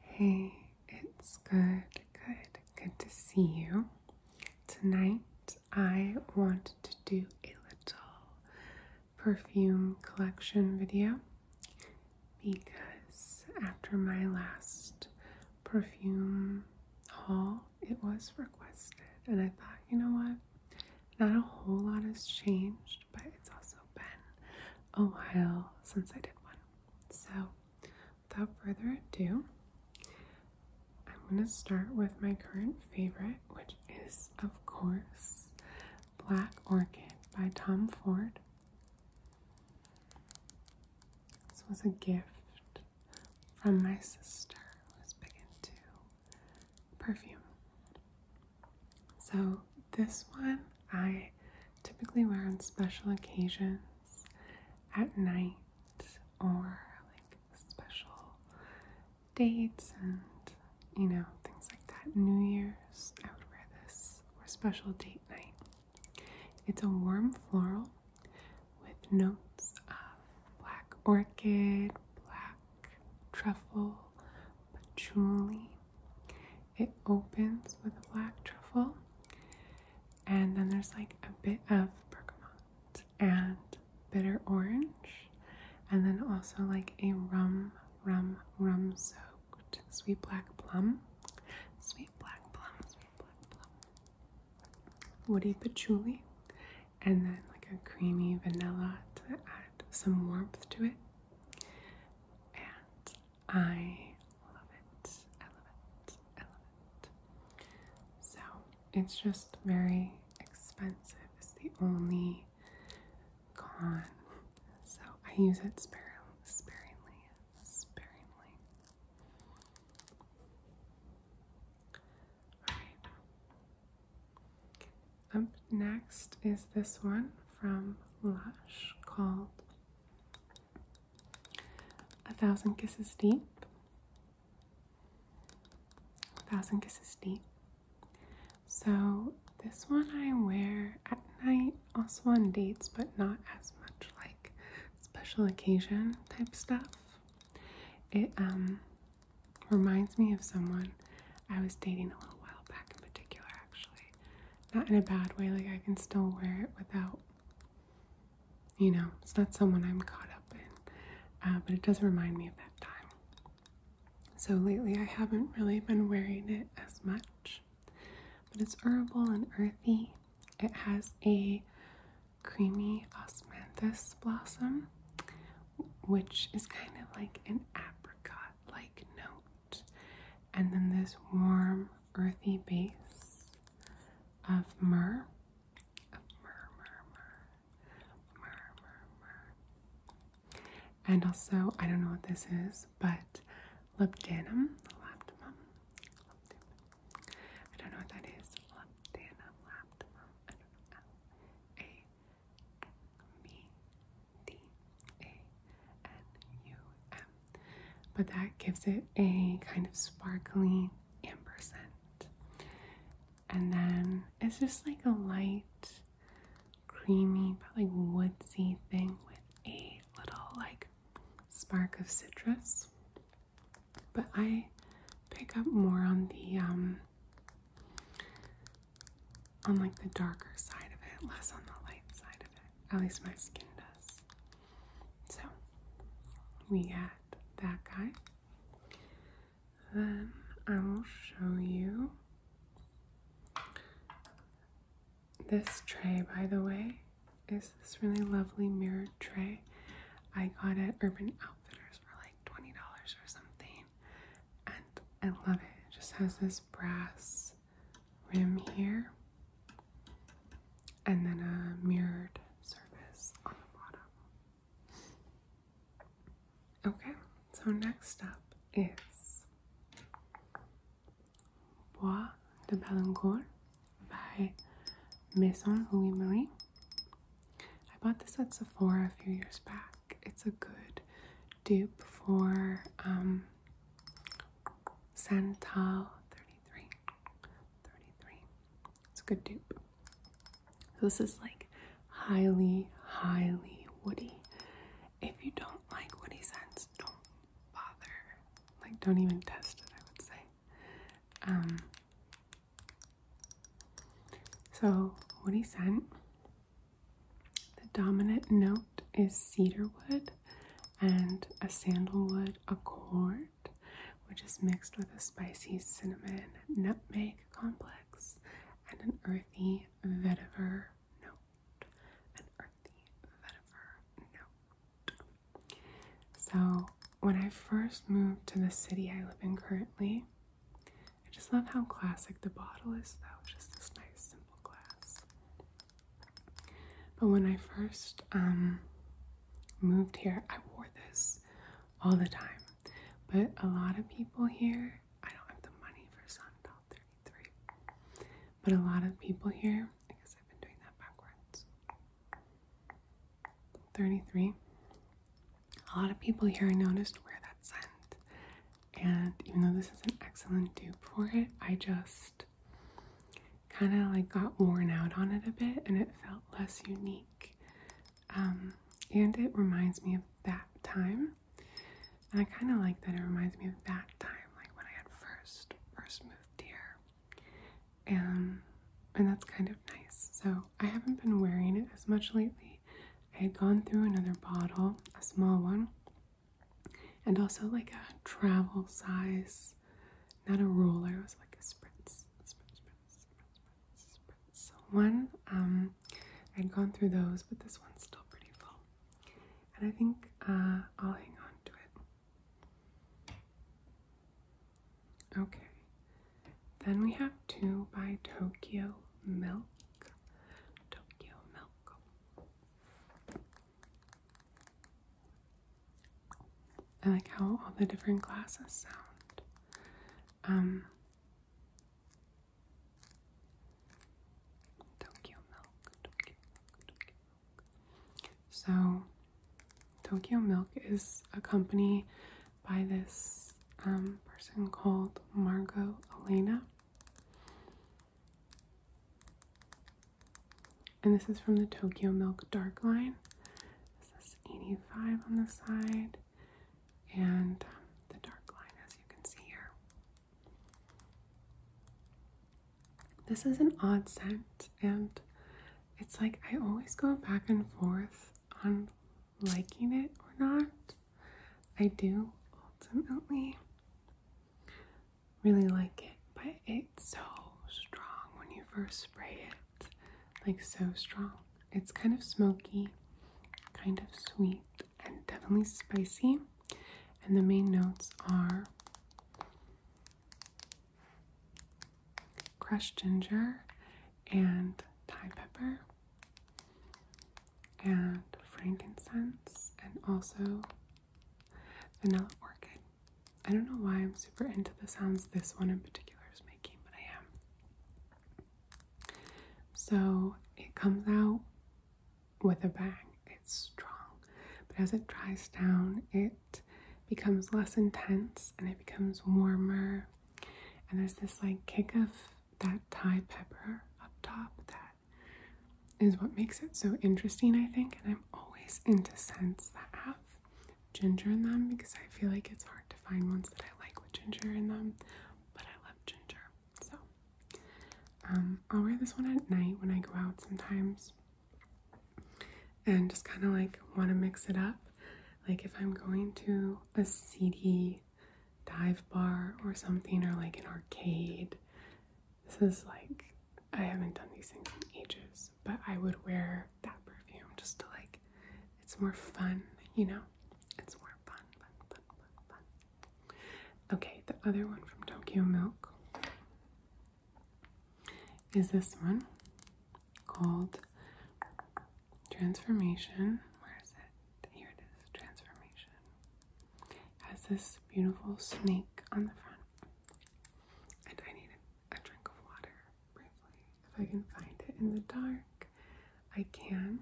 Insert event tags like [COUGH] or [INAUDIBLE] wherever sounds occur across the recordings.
Hey, it's good, good, good to see you. Tonight I want to do a little perfume collection video because after my last perfume haul, it was requested, and I thought, you know what? Not a whole lot has changed but it's also been a while since I did one. So, without further ado, I'm going to start with my current favorite, which is, of course, Black Orchid by Tom Ford. This was a gift from my sister who's big into perfume. So, this one I typically wear on special occasions at night or like special dates and you know, things like that. New Year's, I would wear this or special date night. It's a warm floral with notes of black orchid, black truffle, patchouli, it opens with a black truffle, and then there's like a bit of bergamot and bitter orange, and then also like a rum, rum, rum soaked sweet black plum, sweet black plum, sweet black plum, woody patchouli, and then like a creamy vanilla to add some warmth to it. And I love it. love it. love it. So it's just very expensive, it's the only con. So I use it sparingly, sparingly, sparingly. Alright. Up Next is this one from Lush called A Thousand Kisses Deep. A Thousand Kisses Deep. So, this one I wear at night, also on dates, but not as much like special occasion type stuff. It um, reminds me of someone I was dating a little while back in particular, actually. Not in a bad way, like I can still wear it without, you know, it's not someone I'm caught up in. Uh, but it does remind me of that time. So lately I haven't really been wearing it as much. But it's herbal and earthy. It has a creamy osmanthus blossom, which is kind of like an apricot like note and then this warm, earthy base of myrrh. myrrh, myrrh, myrrh, myrrh, myrrh, And also, I don't know what this is, but labdanum, labdanum, labdanum. I don't know what that is. Labdanum, labdanum. D-A-N-U-M. But that gives it a kind of sparkly ampersand. And then it's just like a light, creamy, but like woodsy thing with a little like spark of citrus. But I pick up more on the um on like the darker side of it, less on the light side of it. At least my skin does. So we got that guy. Then I will show you this tray, by the way, is this really lovely mirror tray. I got it Urban Outfitters for like $20 or something. And I love it. It just has this brass rim here, and then a mirrored surface on the bottom. Okay, so next up is Bois de Balancourt by Maison Louis Marie. I bought this at Sephora a few years back. It's a good dupe for um, Santal 33. It's a good dupe. this is like highly, highly woody. If you don't like woody scents, don't bother. Like don't even test it, I would say. Um so woody scent the dominant note is cedarwood and a sandalwood accord, which is mixed with a spicy cinnamon nutmeg complex and an earthy vetiver note. An earthy vetiver note. So, when I first moved to the city I live in currently, I just love how classic the bottle is, though. Just this nice, simple glass. But when I first um, moved here, I wore this all the time. But a lot of people here, I don't have the money for Sundial 33, but a lot of people here, I guess I've been doing that backwards. 33. A lot of people here I noticed wear that scent. And even though this is an excellent dupe for it, I just kind of like got worn out on it a bit and it felt less unique. Um, and it reminds me of that time. And I kind of like that it reminds me of that time, like when I had first first moved here. And um, and that's kind of nice. So I haven't been wearing it as much lately. I had gone through another bottle, a small one, and also like a travel size, not a roller, it was like a spritz. one, um, I'd gone through those, but this one's still pretty full. And I think uh, I'll hang on to it. Okay. Then we have two by Tokyo Milk. Tokyo Milk. I like how all the different glasses sound. Um, Tokyo Milk, So, Tokyo Milk is a company by this um, person called Margot Elena. And this is from the Tokyo Milk Dark line. This is 85 on the side and um, the dark line as you can see here. This is an odd scent and it's like I always go back and forth on liking it or not. I do ultimately really like it, but it's so strong when you first spray it. Like, so strong. It's kind of smoky, kind of sweet, and definitely spicy. And the main notes are crushed ginger and Thai pepper and frankincense and also vanilla orchid. I don't know why I'm super into the sounds this one in particular is making, but I am. So it comes out with a bang. It's strong, but as it dries down, it becomes less intense and it becomes warmer. And there's this like kick of that Thai pepper up top that is what makes it so interesting, I think. And I'm always into scents that have ginger in them because I feel like it's hard to find ones that I like with ginger in them, but I love ginger. So um, I'll wear this one at night when I go out sometimes and just kind of like want to mix it up. Like if I'm going to a seedy dive bar or something, or like an arcade. This is like, I haven't done these things in ages, but I would wear that perfume just to like, it's more fun, you know? It's more fun, Okay, the other one from Tokyo Milk is this one called Transformation. Where is it? here it is, transformation. has this beautiful snake on the front. And I need a drink of water briefly. If I can find it in the dark, I can.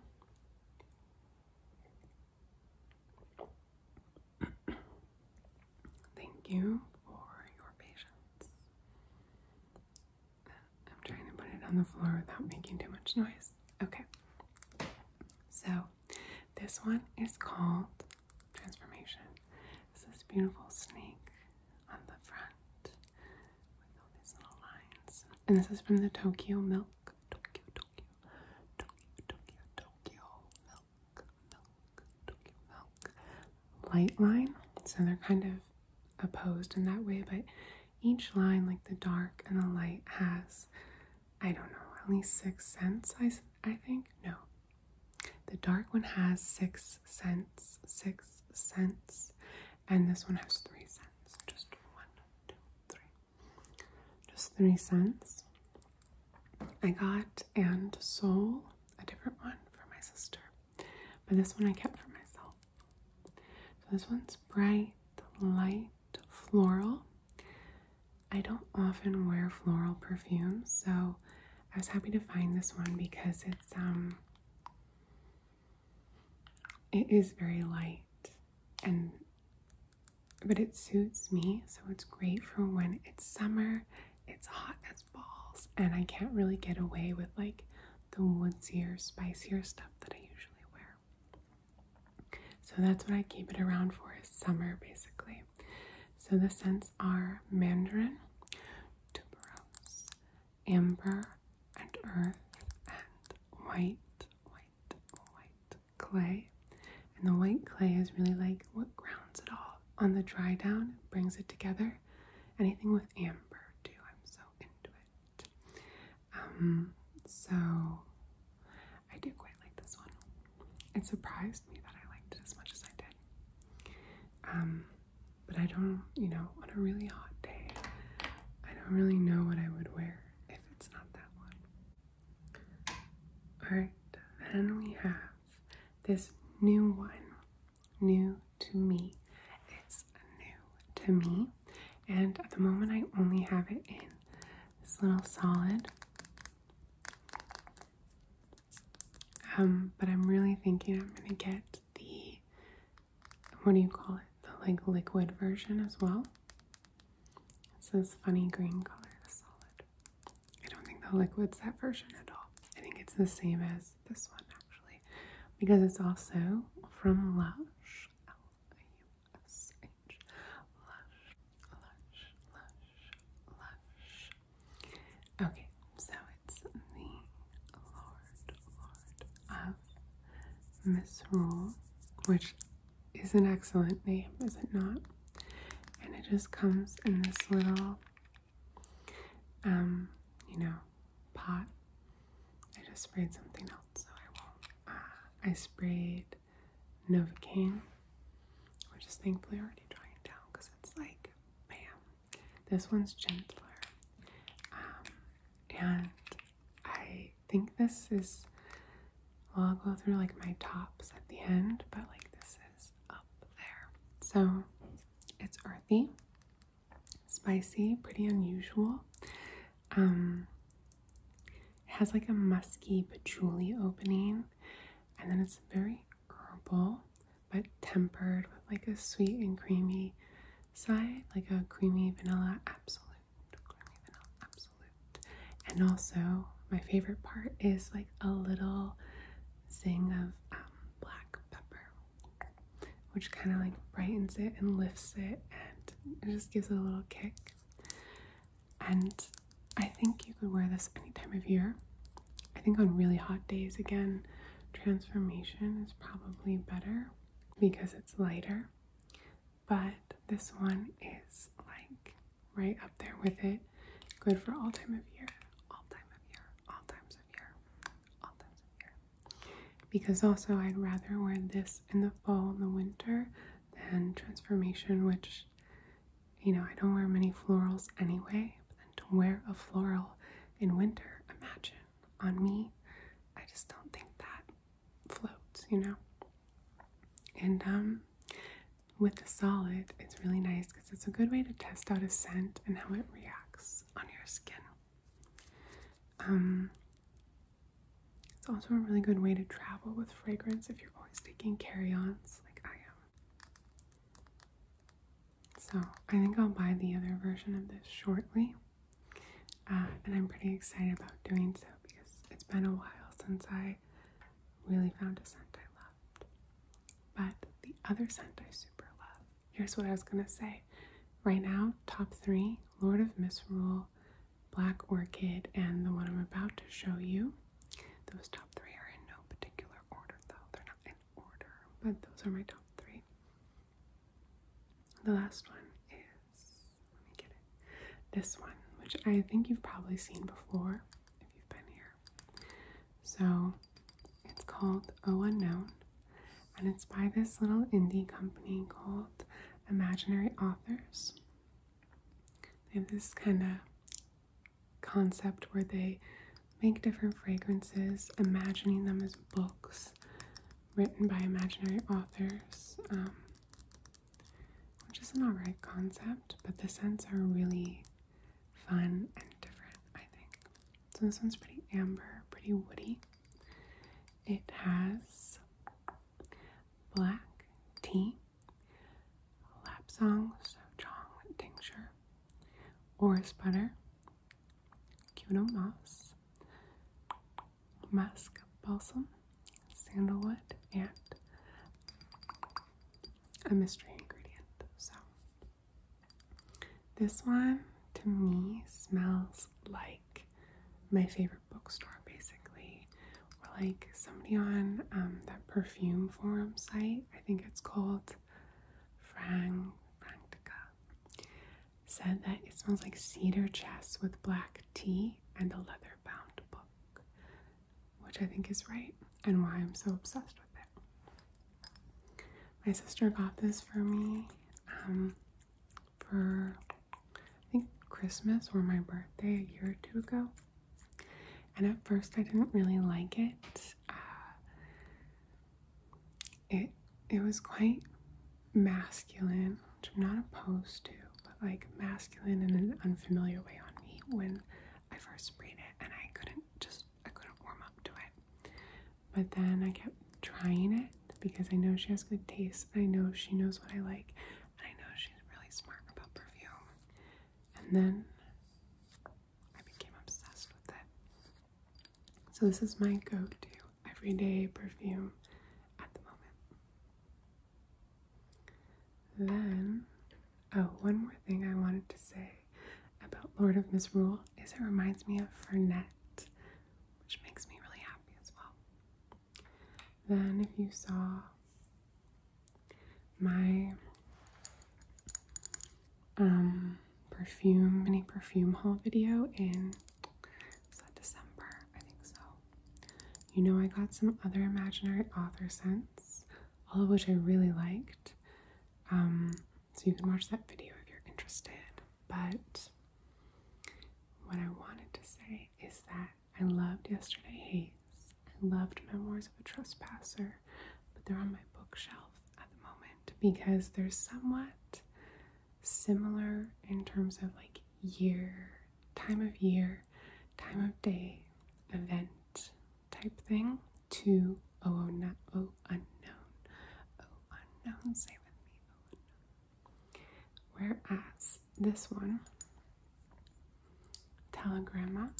[CLEARS THROAT] Thank you for your patience. I'm trying to put it on the floor without making too much noise. Okay. So this one is called Transformation. It's this beautiful snake on the front with all these little lines. And this is from the Tokyo Milk. Tokyo, Tokyo, Tokyo, Tokyo, Tokyo Milk, Milk, Tokyo Milk. Light line. So they're kind of opposed in that way, but each line, like the dark and the light, has I don't know, at least six cents, I, I think. No. The dark one has six cents, six cents, and this one has three cents. Just one, two, three. Just three cents. I got and soul, a different one for my sister, but this one I kept for myself. So this one's bright, light, floral. I don't often wear floral perfumes, so I was happy to find this one because it's um it is very light and but it suits me, so it's great for when it's summer, it's hot as balls, and I can't really get away with like the woodsier, spicier stuff that I usually wear. So that's what I keep it around for is summer basically. So the scents are mandarin, tuberose, amber, and earth, and white, white, white clay. And the white clay is really like what grounds it all on the dry down, brings it together. Anything with amber too, I'm so into it. Um, so I do quite like this one. It surprised me that I liked it as much as I did. Um, but I don't, you know, on a really hot day, I don't really know what I would wear if it's not that one. Alright, then we have this new one. New to me. It's new to me. And at the moment, I only have it in this little solid. Um, but I'm really thinking I'm gonna get the what do you call it? The like liquid version as well. It's this funny green color, the solid. I don't think the liquid's that version at all. I think it's the same as this one actually, because it's also from Lush. Okay, so it's the Lord, of Misrule, which is an excellent name, is it not? And it just comes in this little, um, you know, pot. I just sprayed something else, so I won't. Uh, I sprayed Novocaine, which is thankfully already drying down because it's like, man, this one's gentler. Um, and I think this is, well, I'll go through like my tops at the end, but like this is up there. So it's earthy, spicy, pretty unusual. Um, it has like a musky patchouli opening, and then it's very herbal but tempered with like a sweet and creamy side, like a creamy vanilla absolute, And also, my favorite part is like a little zing of um, black pepper, which kind of like brightens it and lifts it and it just gives it a little kick. And I think you could wear this any time of year. I think on really hot days, again, transformation is probably better because it's lighter. But this one is like right up there with it. Good for all time of year, all time of year, all times of year, all times of year. Because also, I'd rather wear this in the fall and the winter and transformation, which, you know, I don't wear many florals anyway, but then to wear a floral in winter, imagine on me, I just don't think that floats, you know? And um, with the solid, it's really nice because it's a good way to test out a scent and how it reacts on your skin. Um, it's also a really good way to travel with fragrance if you're always taking carry ons like I am. So I think I'll buy the other version of this shortly. Uh, and I'm pretty excited about doing so because it's been a while since I really found a scent I loved. But the other scent I super love, here's what I was gonna say. Right now, top three Lord of Misrule Black Orchid, and the one I'm about to show you. Those top three are in no particular order, though. They're not in order, but those are my top three. The last one is, let me get it, this one, which I think you've probably seen before if you've been here. So it's called O Unknown, and it's by this little indie company called imaginary authors. They have this kind of concept where they make different fragrances, imagining them as books written by imaginary authors, um, which is an alright concept, but the scents are really fun and different, I think. So this one's pretty amber, pretty woody. It has black tea, lapsang sochong tincture, orris butter, Kyoto moss, musk balsam, sandalwood, and a mystery ingredient. So, this one to me smells like my favorite bookstore basically or like somebody on um, that perfume forum site I think it's called Frank Frantica said that it smells like cedar chest with black tea and a leather bound book which I think is right and why I'm so obsessed with it my sister got this for me um, for I think Christmas or my birthday a year or two ago. And at first, I didn't really like it. Uh, it it was quite masculine, which I'm not opposed to, but like masculine in an unfamiliar way on me when I first sprayed it, and I couldn't just I couldn't warm up to it. But then I kept trying it, because I know she has good taste. I know she knows what I like, I know she's really smart about perfume. And then I became obsessed with it. So, this is my go to everyday perfume at the moment. Then, oh, one more thing I wanted to say about Lord of Misrule is it reminds me of Fernet, which makes me really happy as well. Then, if you saw my um, perfume, mini perfume haul video in December, I think so, you know, I got some other imaginary author scents, all of which I really liked. Um, so you can watch that video if you're interested. But what I wanted to say is that I loved Yesterday Haze. I loved Memoirs of a Trespasser, but they're on my bookshelf at the moment because they're somewhat similar in terms of like year, time of year, time of day, event type thing to Oh, oh, oh Unknown. Oh Unknown, say with me, oh, Whereas this one, telegramma,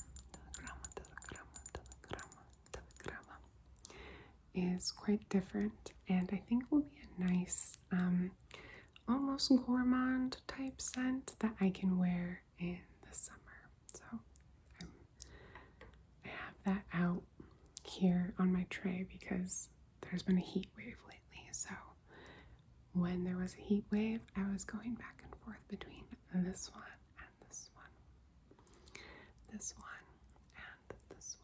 is quite different and I think will be a nice, um, almost gourmand type scent that I can wear in the summer. So I have that out here on my tray because there's been a heat wave lately. So when there was a heat wave, I was going back and forth between this one and this one, this one and this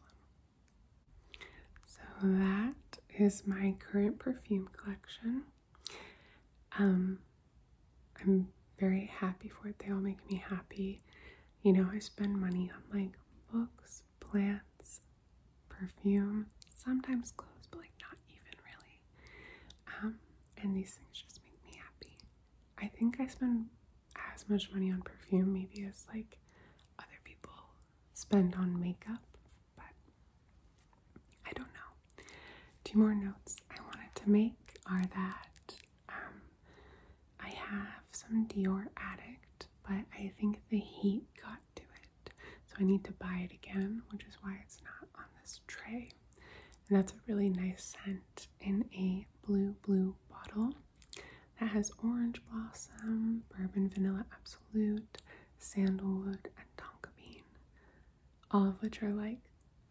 one. So that is my current perfume collection. Um, I'm very happy for it. They all make me happy. You know, I spend money on like books plants, perfume, sometimes clothes, but like not even really. Um, and these things just make me happy. I think I spend as much money on perfume maybe as like other people spend on makeup, but I don't know. Two more notes I wanted to make are that um, I have some Dior Addict, but I think the heat got to it. So I need to buy it again, which is why it's not on this tray. And that's a really nice scent in a blue, blue bottle that has orange blossom, bourbon vanilla absolute, sandalwood, and tonka bean. All of which are like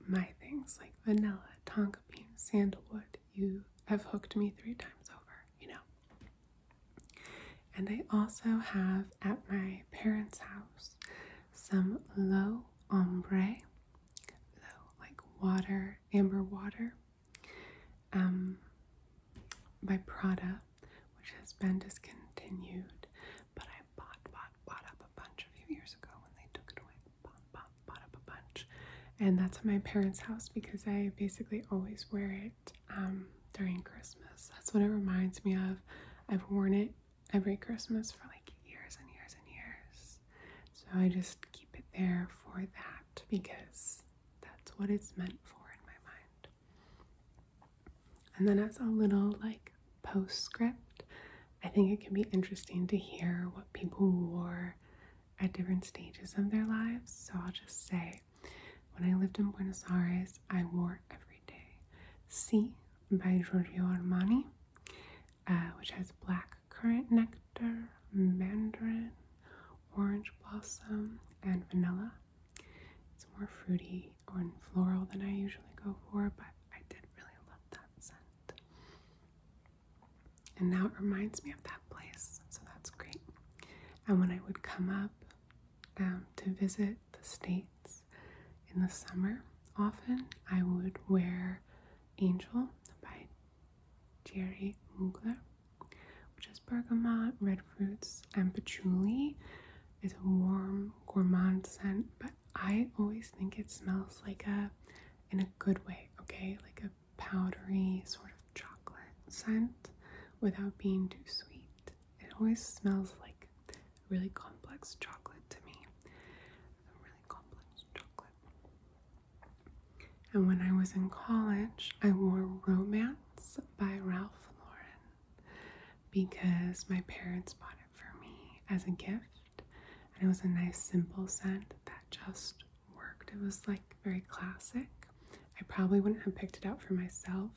my things like vanilla, tonka bean, sandalwood. You have hooked me three times over you know. And I also have at my parents' house some low ombre, like water, amber water, um, by Prada, which has been discontinued. But I bought, bought, bought up a bunch a few years ago when they took it away. Bought, bought, bought up a bunch, and that's at my parents' house because I basically always wear it um, during Christmas. That's what it reminds me of. I've worn it every Christmas for like years and years and years. So I just keep it there for that because that's what it's meant for in my mind. And then as a little like postscript, I think it can be interesting to hear what people wore at different stages of their lives. So I'll just say, when I lived in Buenos Aires, I wore every day. C by Giorgio Armani, uh, which has black currant nectar, mandarin, orange blossom, and vanilla. It's more fruity or floral than I usually go for, but I did really love that scent. And now it reminds me of that place, so that's great. And when I would come up um, to visit the States in the summer, often I would wear Angel by Jerry Mugler, which is bergamot, red fruits, and patchouli. It's a warm, gourmand scent, but I always think it smells like a, in a good way, okay? Like a powdery sort of chocolate scent without being too sweet. It always smells like really complex chocolate to me. Really complex chocolate. And when I was in college, I wore Romance by Ralph Lauren because my parents bought it for me as a gift. And it was a nice, simple scent that just worked. It was like very classic. I probably wouldn't have picked it out for myself,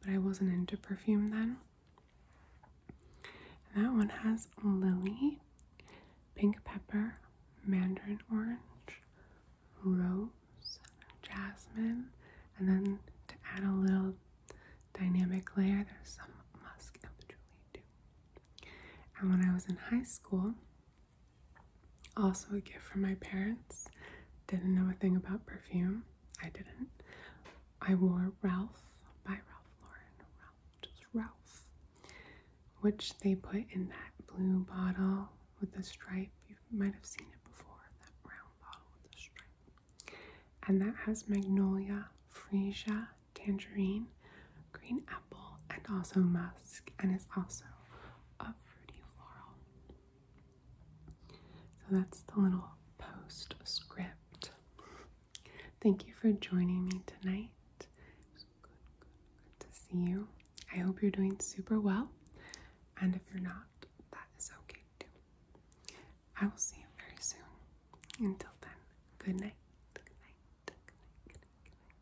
but I wasn't into perfume then. And that one has lily, pink pepper, mandarin orange, rose, jasmine, and then to add a little dynamic layer, there's some musk and patchouli too. And when I was in high school, also, a gift from my parents. Didn't know a thing about perfume. I didn't. I wore Ralph by Ralph Lauren. Ralph, just Ralph. Which they put in that blue bottle with the stripe. You might have seen it before, that round bottle with the stripe. And that has magnolia, freesia, tangerine, green apple, and also musk, and is also a fruity floral. So that's the little postscript. Thank you for joining me tonight. good to see you. I hope you're doing super well, and if you're not, that is okay too. I will see you very soon. Until then, good night. Good night. Good night. Good night. Good night.